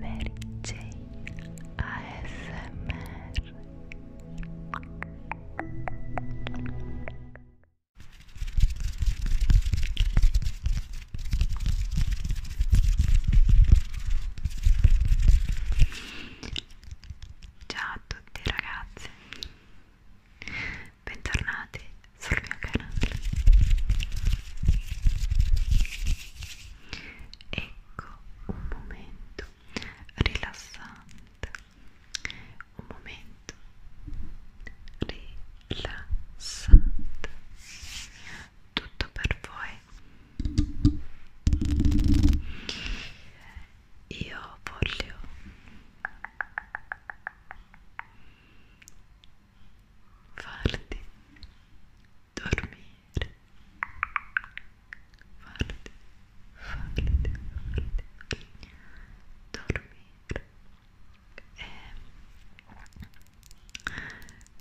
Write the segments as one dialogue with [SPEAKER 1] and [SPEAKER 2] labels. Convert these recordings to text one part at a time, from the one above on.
[SPEAKER 1] Mary Jane ASMR Ciao a tutti ragazzi Bentornati sul mio canale Ecco un momento rilassante, un momento rilassante, tutto per voi. Io voglio farti dormire farti, farti, farti dormire e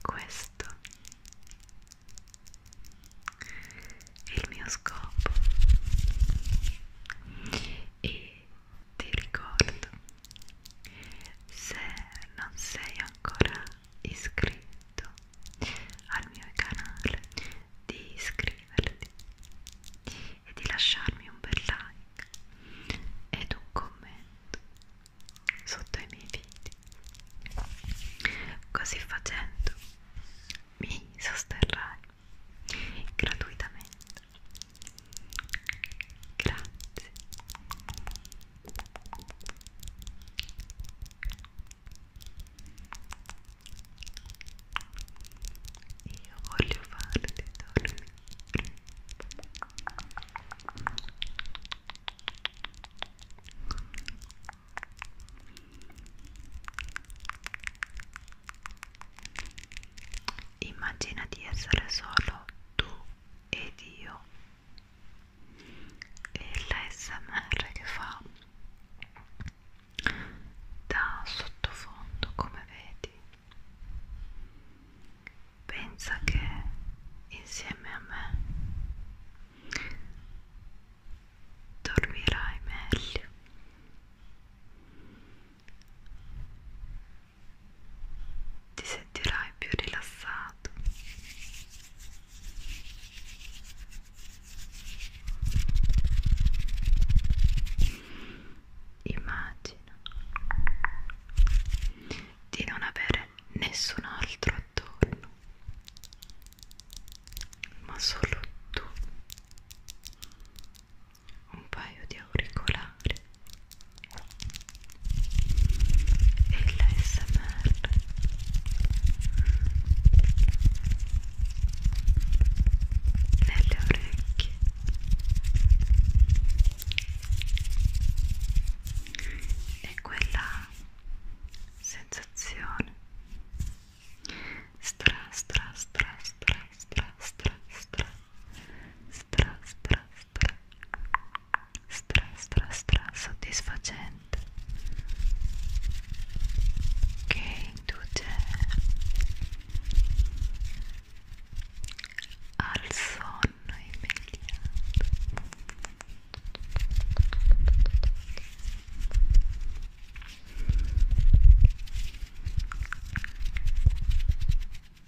[SPEAKER 1] questo è il mio scopo e ti ricordo se non sei ancora iscritto al mio canale di iscriverti e di lasciarmi un bel like ed un commento sotto ai miei video così facendo mi sosterrai gratuitamente grazie io voglio farti dormire. Immagina di essere solo tu ed io e l'ASMR che fa da sottofondo come vedi pensa che insieme a me dormirai meglio ti sentirai più rilassato immagina di non avere nessun altro attorno ma solo tu un paio di auricolari e l'ASMR nelle orecchie e quella sensazione stra stra stra stra stra stra stra stra stra stra stra stra stra stra soddisfacente che induce al sonno immediato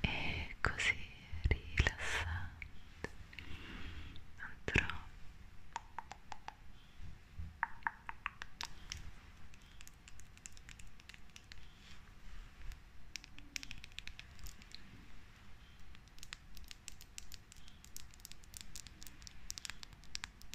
[SPEAKER 1] e così rilassante andrò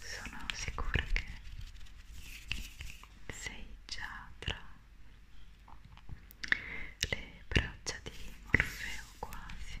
[SPEAKER 1] Sono sicura che sei già tra le braccia di Orfeo quasi.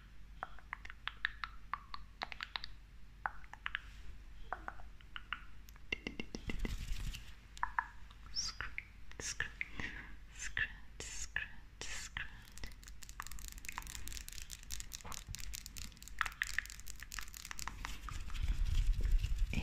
[SPEAKER 1] Scratch, scratch, scratch, scratch, scratch. And...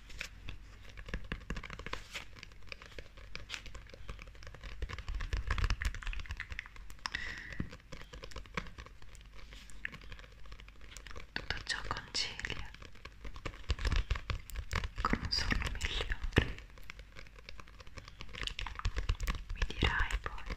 [SPEAKER 1] Tutto ciò concilia con un sonno migliore. Mi dirai poi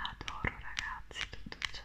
[SPEAKER 1] Adoro ragazzi tutto ciò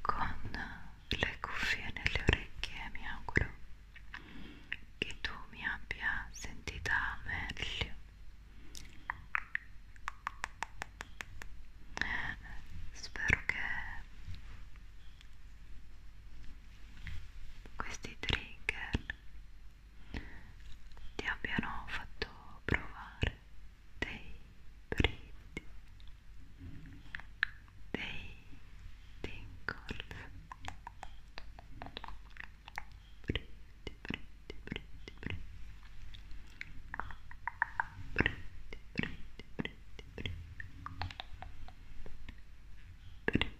[SPEAKER 1] Con le cuffie nelle orecchie mi auguro che tu mi abbia sentita meglio. Spero che questi trigger ti abbiano fatto provare dei brividi, dei tingles, brividi, brividi, brividi, brividi, brividi, brividi, brividi, brividi.